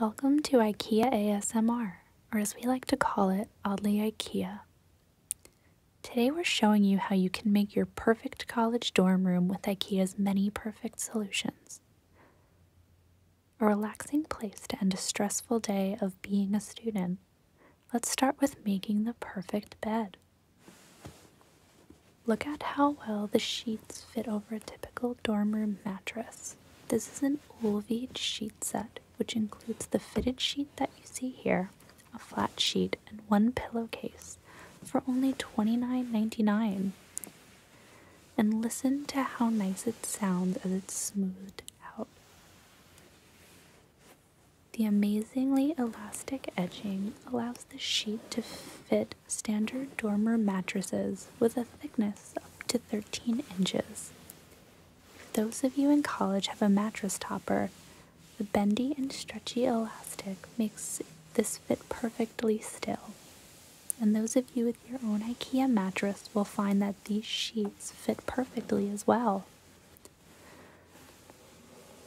Welcome to IKEA ASMR, or as we like to call it, Oddly IKEA. Today we're showing you how you can make your perfect college dorm room with IKEA's many perfect solutions. A relaxing place to end a stressful day of being a student. Let's start with making the perfect bed. Look at how well the sheets fit over a typical dormer mattress. This is an Olvid sheet set, which includes the fitted sheet that you see here, a flat sheet, and one pillowcase for only $29.99. And listen to how nice it sounds as it's smoothed out. The amazingly elastic edging allows the sheet to fit standard dormer mattresses with a thickness up to 13 inches. those of you in college have a mattress topper, the bendy and stretchy elastic makes this fit perfectly still. And those of you with your own IKEA mattress will find that these sheets fit perfectly as well.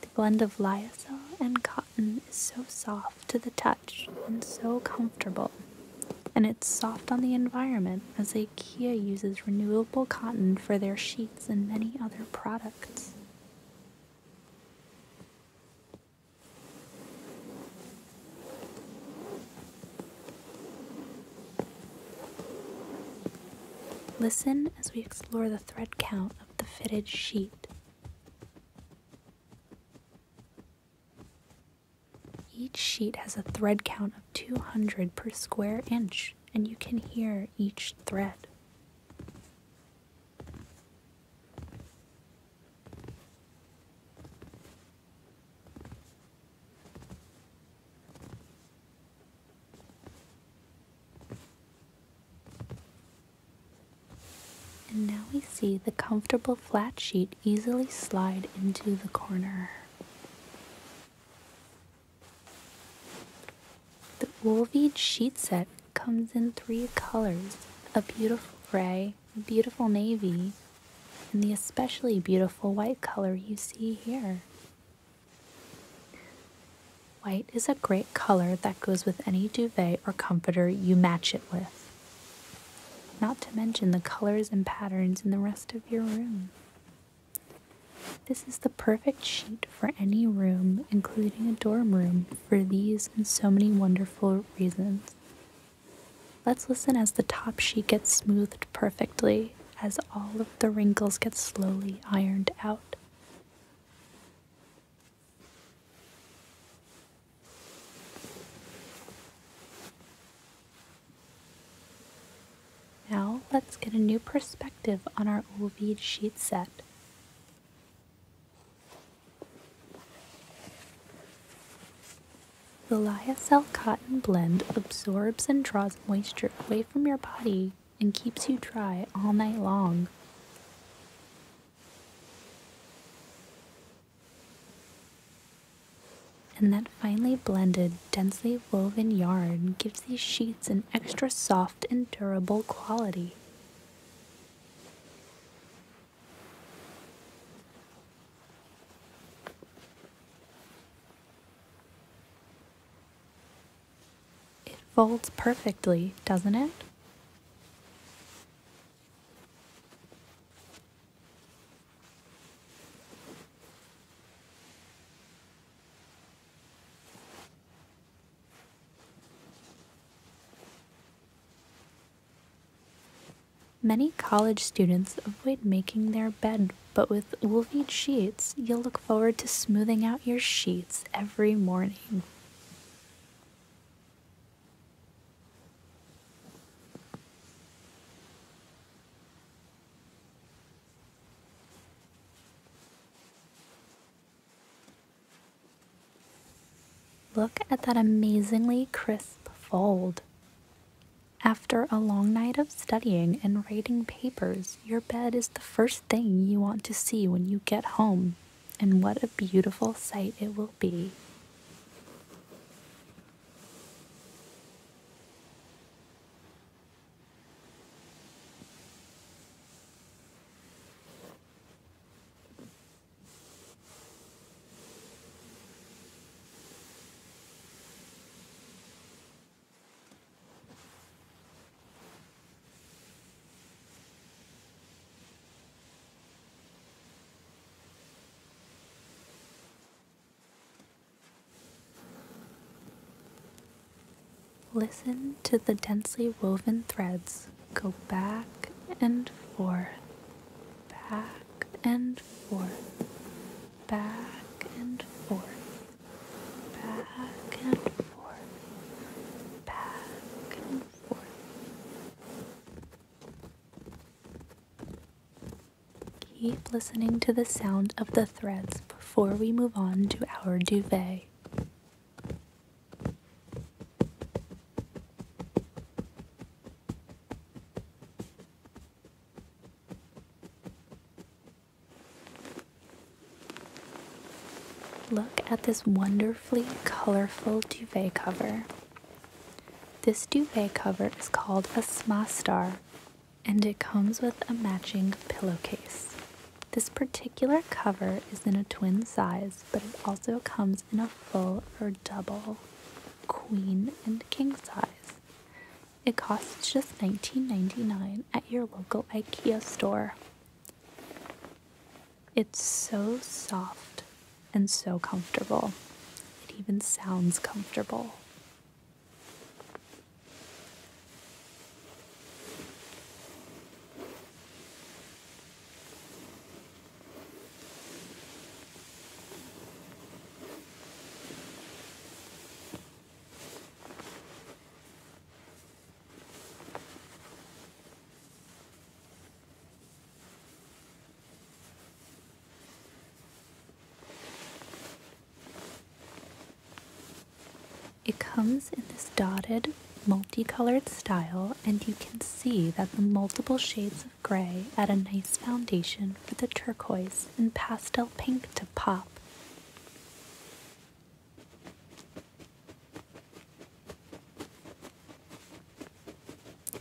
The blend of lyocell and cotton is so soft to the touch and so comfortable, and it's soft on the environment as IKEA uses renewable cotton for their sheets and many other products. Listen as we explore the thread count of the fitted sheet. Each sheet has a thread count of 200 per square inch, and you can hear each thread. And now we see the comfortable flat sheet easily slide into the corner. The Wolved sheet set comes in three colors, a beautiful gray, a beautiful navy, and the especially beautiful white color you see here. White is a great color that goes with any duvet or comforter you match it with. Not to mention the colors and patterns in the rest of your room. This is the perfect sheet for any room, including a dorm room, for these and so many wonderful reasons. Let's listen as the top sheet gets smoothed perfectly, as all of the wrinkles get slowly ironed out. Now let's get a new perspective on our Ovid sheet set. The lyocell cotton blend absorbs and draws moisture away from your body and keeps you dry all night long. And that finely blended, densely woven yarn gives these sheets an extra soft and durable quality. It folds perfectly, doesn't it? Many college students avoid making their bed, but with Woolveed sheets, you'll look forward to smoothing out your sheets every morning. Look at that amazingly crisp fold. After a long night of studying and writing papers, your bed is the first thing you want to see when you get home, and what a beautiful sight it will be. Listen to the densely woven threads go back and forth, back and forth, back and forth, back and forth, back and forth. Keep listening to the sound of the threads before we move on to our duvet. Look at this wonderfully colorful duvet cover. This duvet cover is called a smastar and it comes with a matching pillowcase. This particular cover is in a twin size, but it also comes in a full or double queen and king size. It costs just $19.99 at your local IKEA store. It's so soft and so comfortable. It even sounds comfortable. It comes in this dotted, multicolored style, and you can see that the multiple shades of gray add a nice foundation for the turquoise and pastel pink to pop.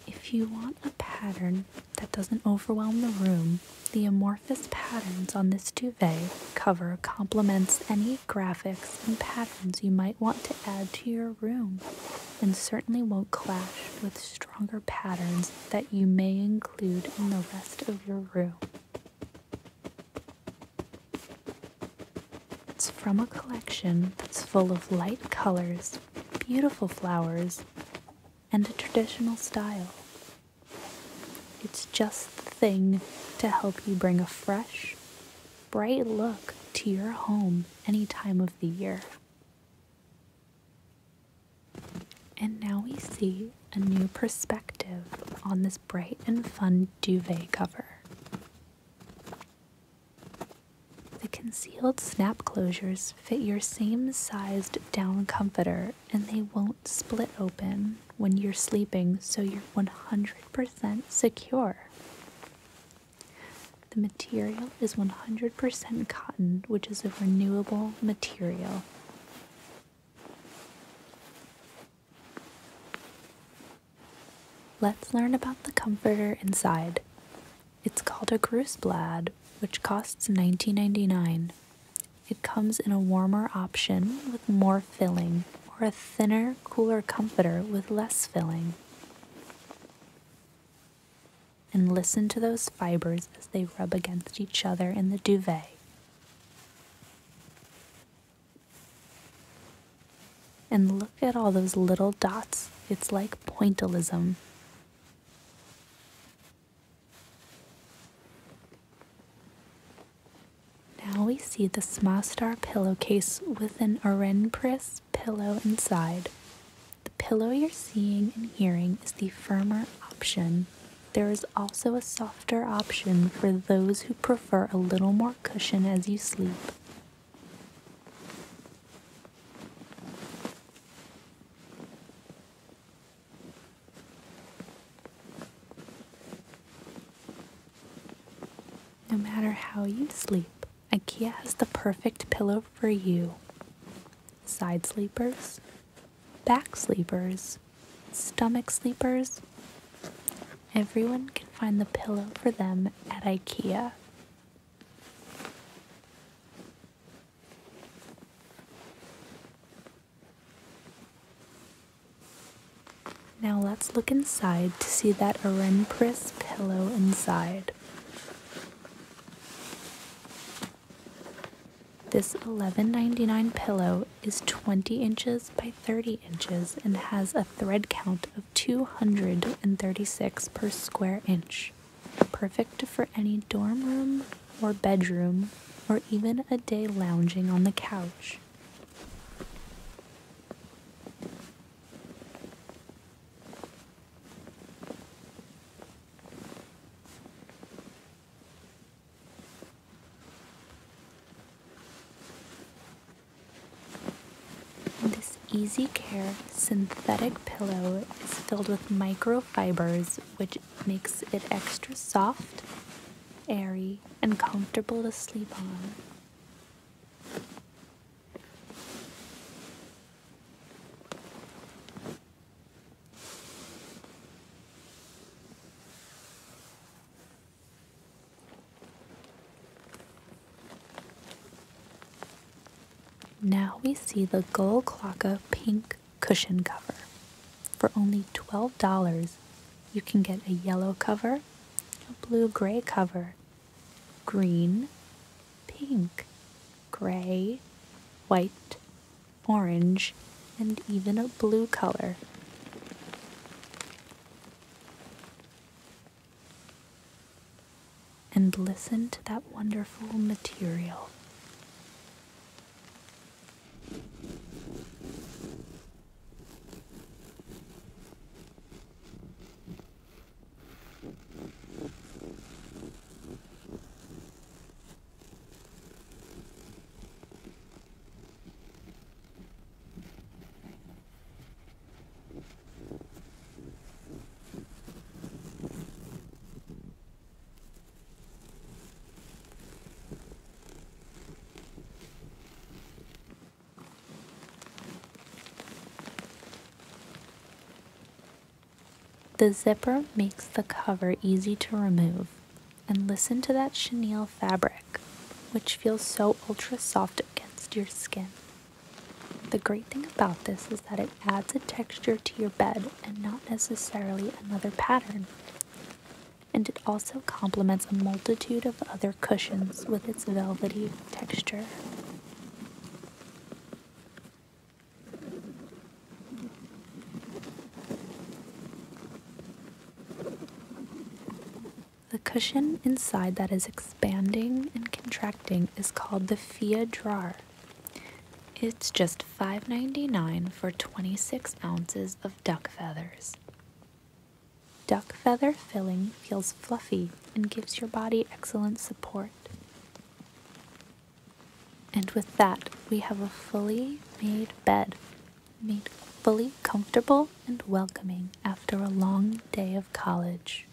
If you want a pattern that doesn't overwhelm the room, the amorphous patterns on this duvet cover complements any graphics and patterns you might want to add to your room and certainly won't clash with stronger patterns that you may include in the rest of your room. It's from a collection that's full of light colors, beautiful flowers, and a traditional style. It's just the thing to help you bring a fresh, bright look to your home any time of the year. And now we see a new perspective on this bright and fun duvet cover. The concealed snap closures fit your same sized down comforter and they won't split open when you're sleeping, so you're 100% secure. The material is 100% cotton, which is a renewable material. Let's learn about the comforter inside. It's called a Gruseblad, which costs 19 It comes in a warmer option with more filling, or a thinner, cooler comforter with less filling. And listen to those fibers as they rub against each other in the duvet. And look at all those little dots. It's like pointillism. Now we see the star pillowcase with an Orenpris pillow inside. The pillow you're seeing and hearing is the firmer option. There is also a softer option for those who prefer a little more cushion as you sleep. No matter how you sleep, IKEA has the perfect pillow for you. Side sleepers, back sleepers, stomach sleepers. Everyone can find the pillow for them at IKEA. Now let's look inside to see that Orenpris pillow inside. This $11.99 pillow is 20 inches by 30 inches and has a thread count of 236 per square inch. Perfect for any dorm room or bedroom or even a day lounging on the couch. This Easy Care synthetic pillow is filled with microfibers, which makes it extra soft, airy, and comfortable to sleep on. Now we see the Gold Clocka pink cushion cover. For only $12, you can get a yellow cover, a blue gray cover, green, pink, gray, white, orange, and even a blue color. And listen to that wonderful material. The zipper makes the cover easy to remove and listen to that chenille fabric, which feels so ultra soft against your skin. The great thing about this is that it adds a texture to your bed and not necessarily another pattern. And it also complements a multitude of other cushions with its velvety texture. The cushion inside that is expanding and contracting is called the Fia Drawer. It's just $5.99 for 26 ounces of duck feathers. Duck feather filling feels fluffy and gives your body excellent support. And with that, we have a fully made bed made fully comfortable and welcoming after a long day of college.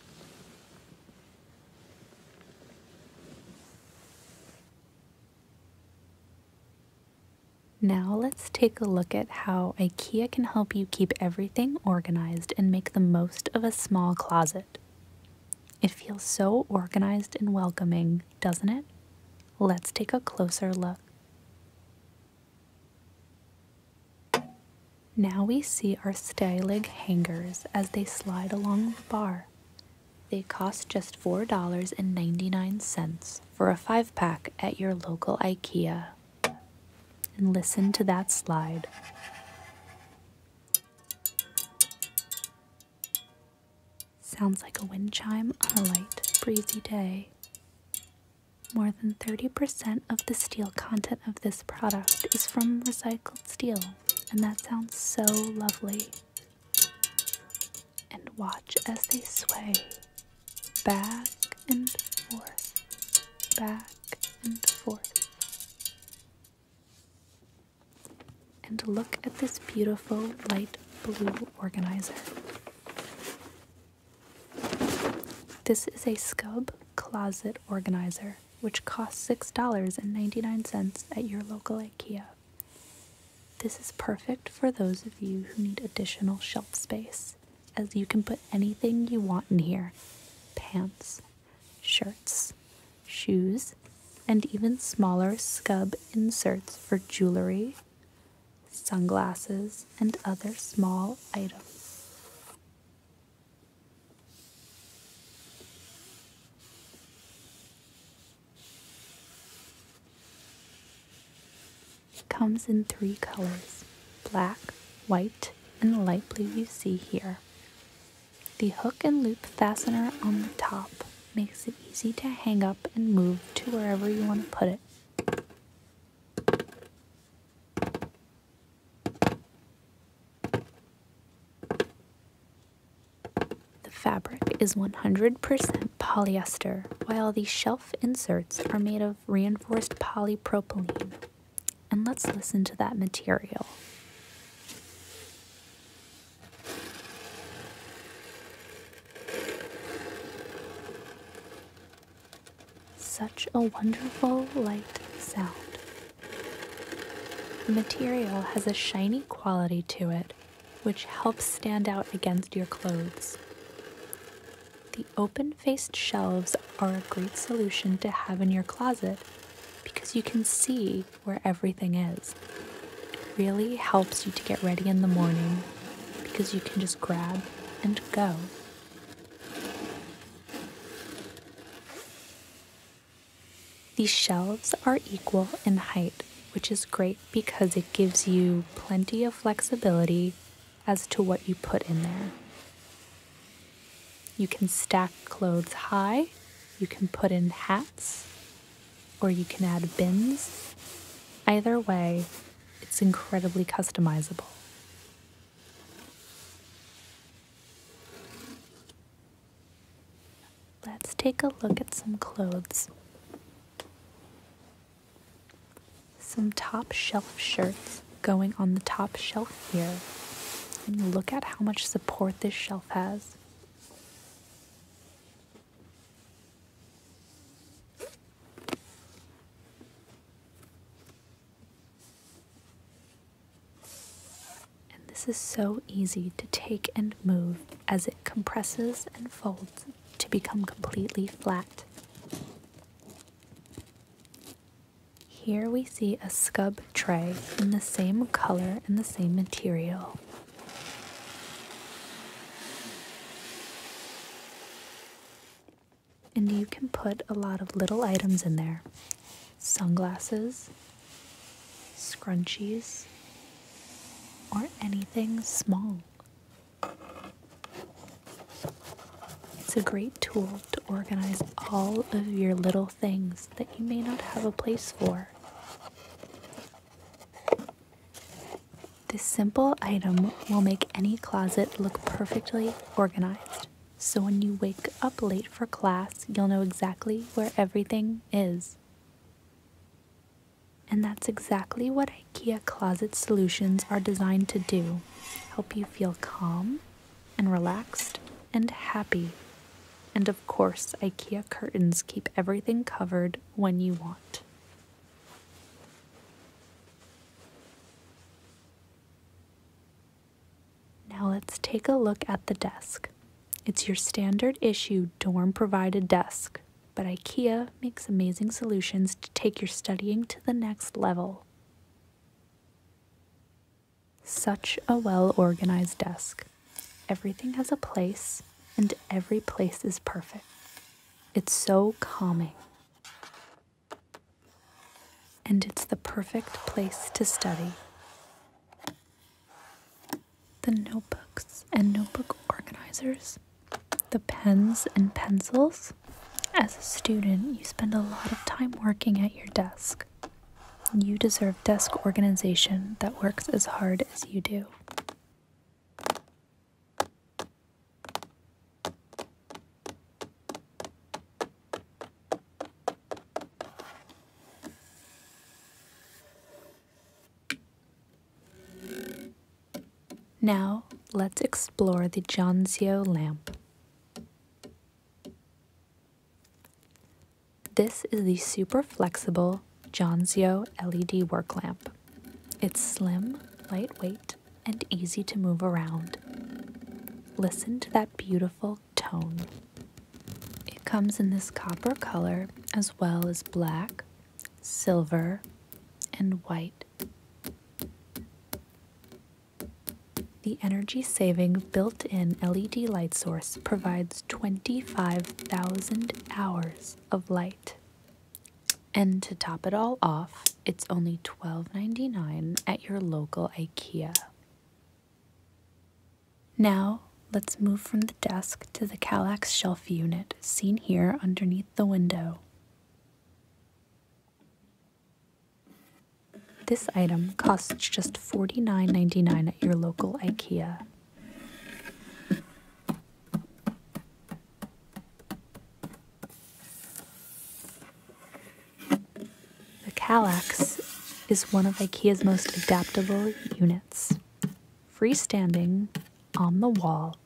Now let's take a look at how IKEA can help you keep everything organized and make the most of a small closet. It feels so organized and welcoming, doesn't it? Let's take a closer look. Now we see our Steilig hangers as they slide along the bar. They cost just $4.99 for a 5-pack at your local IKEA. And listen to that slide. Sounds like a wind chime on a light, breezy day. More than 30% of the steel content of this product is from recycled steel, and that sounds so lovely. And watch as they sway back and forth, back and forth. And look at this beautiful light blue organizer. This is a scub closet organizer, which costs $6.99 at your local IKEA. This is perfect for those of you who need additional shelf space, as you can put anything you want in here pants, shirts, shoes, and even smaller scub inserts for jewelry, sunglasses, and other small items. comes in three colors black, white, and light blue you see here. The hook and loop fastener on the top makes it easy to hang up and move to wherever you want to put it. The fabric is 100% polyester, while the shelf inserts are made of reinforced polypropylene. And let's listen to that material. Such a wonderful light sound. The material has a shiny quality to it, which helps stand out against your clothes. The open faced shelves are a great solution to have in your closet because you can see where everything is. It really helps you to get ready in the morning because you can just grab and go. These shelves are equal in height, which is great because it gives you plenty of flexibility as to what you put in there. You can stack clothes high, you can put in hats, or you can add bins. Either way, it's incredibly customizable. Let's take a look at some clothes. Some top shelf shirts going on the top shelf here. And look at how much support this shelf has. And this is so easy to take and move as it compresses and folds to become completely flat. Here we see a scub tray in the same color and the same material. And you can put a lot of little items in there sunglasses, scrunchies, or anything small. It's a great tool to organize all of your little things that you may not have a place for. This simple item will make any closet look perfectly organized. So when you wake up late for class, you'll know exactly where everything is. And that's exactly what IKEA closet solutions are designed to do. Help you feel calm and relaxed and happy. And of course, IKEA curtains keep everything covered when you want. Now let's take a look at the desk. It's your standard issue dorm provided desk, but IKEA makes amazing solutions to take your studying to the next level. Such a well organized desk. Everything has a place, and every place is perfect. It's so calming. And it's the perfect place to study. The notebooks and notebook organizers, the pens and pencils. As a student, you spend a lot of time working at your desk. You deserve desk organization that works as hard as you do. Now, let's explore the Jonzio lamp. This is the super flexible Johnzio LED work lamp. It's slim, lightweight, and easy to move around. Listen to that beautiful tone. It comes in this copper color as well as black, silver, and white. The energy saving built in LED light source provides 25,000 hours of light. And to top it all off, it's only $12.99 at your local IKEA. Now, let's move from the desk to the Calax shelf unit, seen here underneath the window. This item costs just $49.99 at your local IKEA. The Kallax is one of IKEA's most adaptable units, freestanding on the wall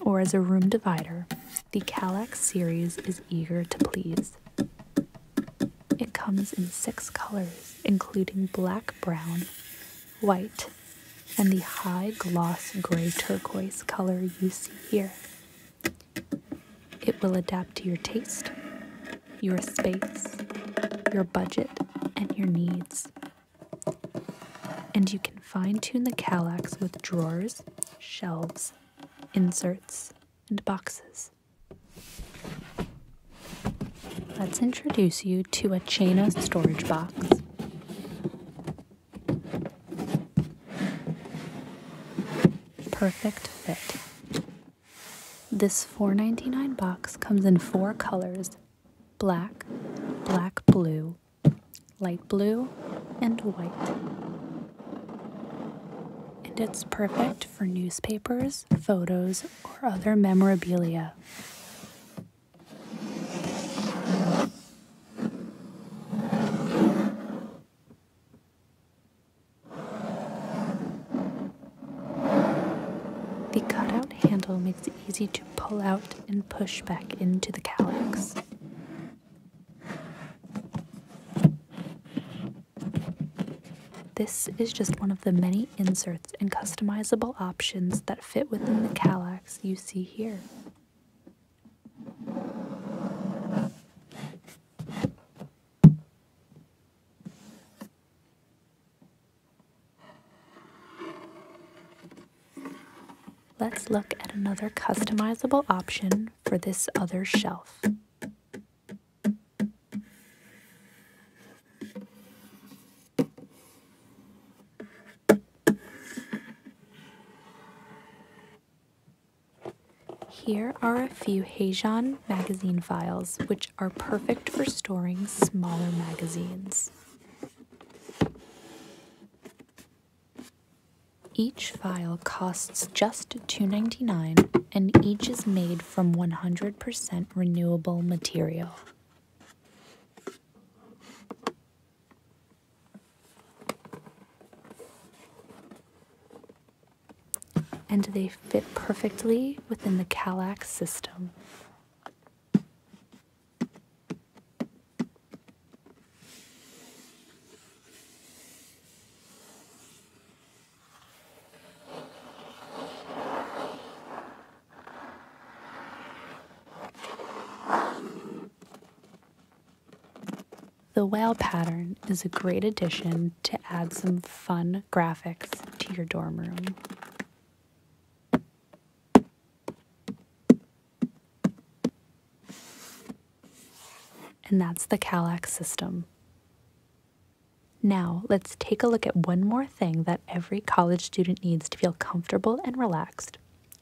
or as a room divider. The Kallax series is eager to please. It comes in six colors, including black, brown, white, and the high gloss gray turquoise color you see here. It will adapt to your taste, your space, your budget, and your needs. And you can fine tune the Calax with drawers, shelves, inserts, and boxes. Let's introduce you to a chain of storage box. Perfect fit. This $4.99 box comes in four colors, black, black blue, light blue, and white. And it's perfect for newspapers, photos, or other memorabilia. The cutout handle makes it easy to pull out and push back into the calyx. This is just one of the many inserts and customizable options that fit within the Calax you see here. Let's look at another customizable option for this other shelf. Here are a few Heijan magazine files, which are perfect for storing smaller magazines. Each file costs just $2.99 and each is made from 100% renewable material. And they fit perfectly within the Kallax system. The whale pattern is a great addition to add some fun graphics to your dorm room. And that's the Calax system. Now, let's take a look at one more thing that every college student needs to feel comfortable and relaxed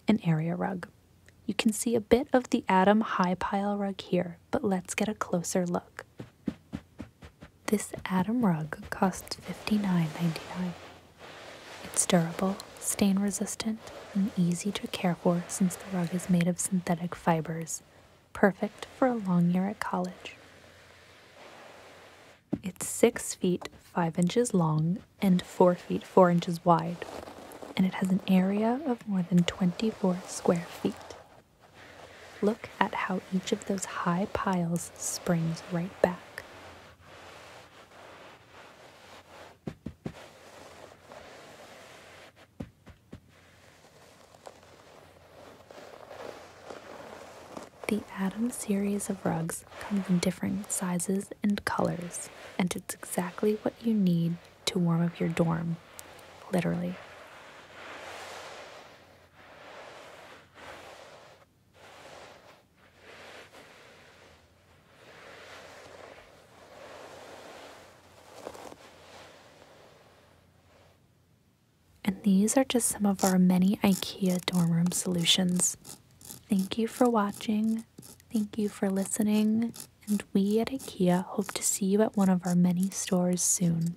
an area rug. You can see a bit of the Adam High Pile rug here, but let's get a closer look. This Adam rug costs $59.99. It's durable, stain resistant, and easy to care for since the rug is made of synthetic fibers, perfect for a long year at college. It's 6 feet 5 inches long and 4 feet 4 inches wide, and it has an area of more than 24 square feet. Look at how each of those high piles springs right back. The Adam series of rugs comes in different sizes and colors, and it's exactly what you need to warm up your dorm, literally. And these are just some of our many IKEA dorm room solutions. Thank you for watching. Thank you for listening. And we at IKEA hope to see you at one of our many stores soon.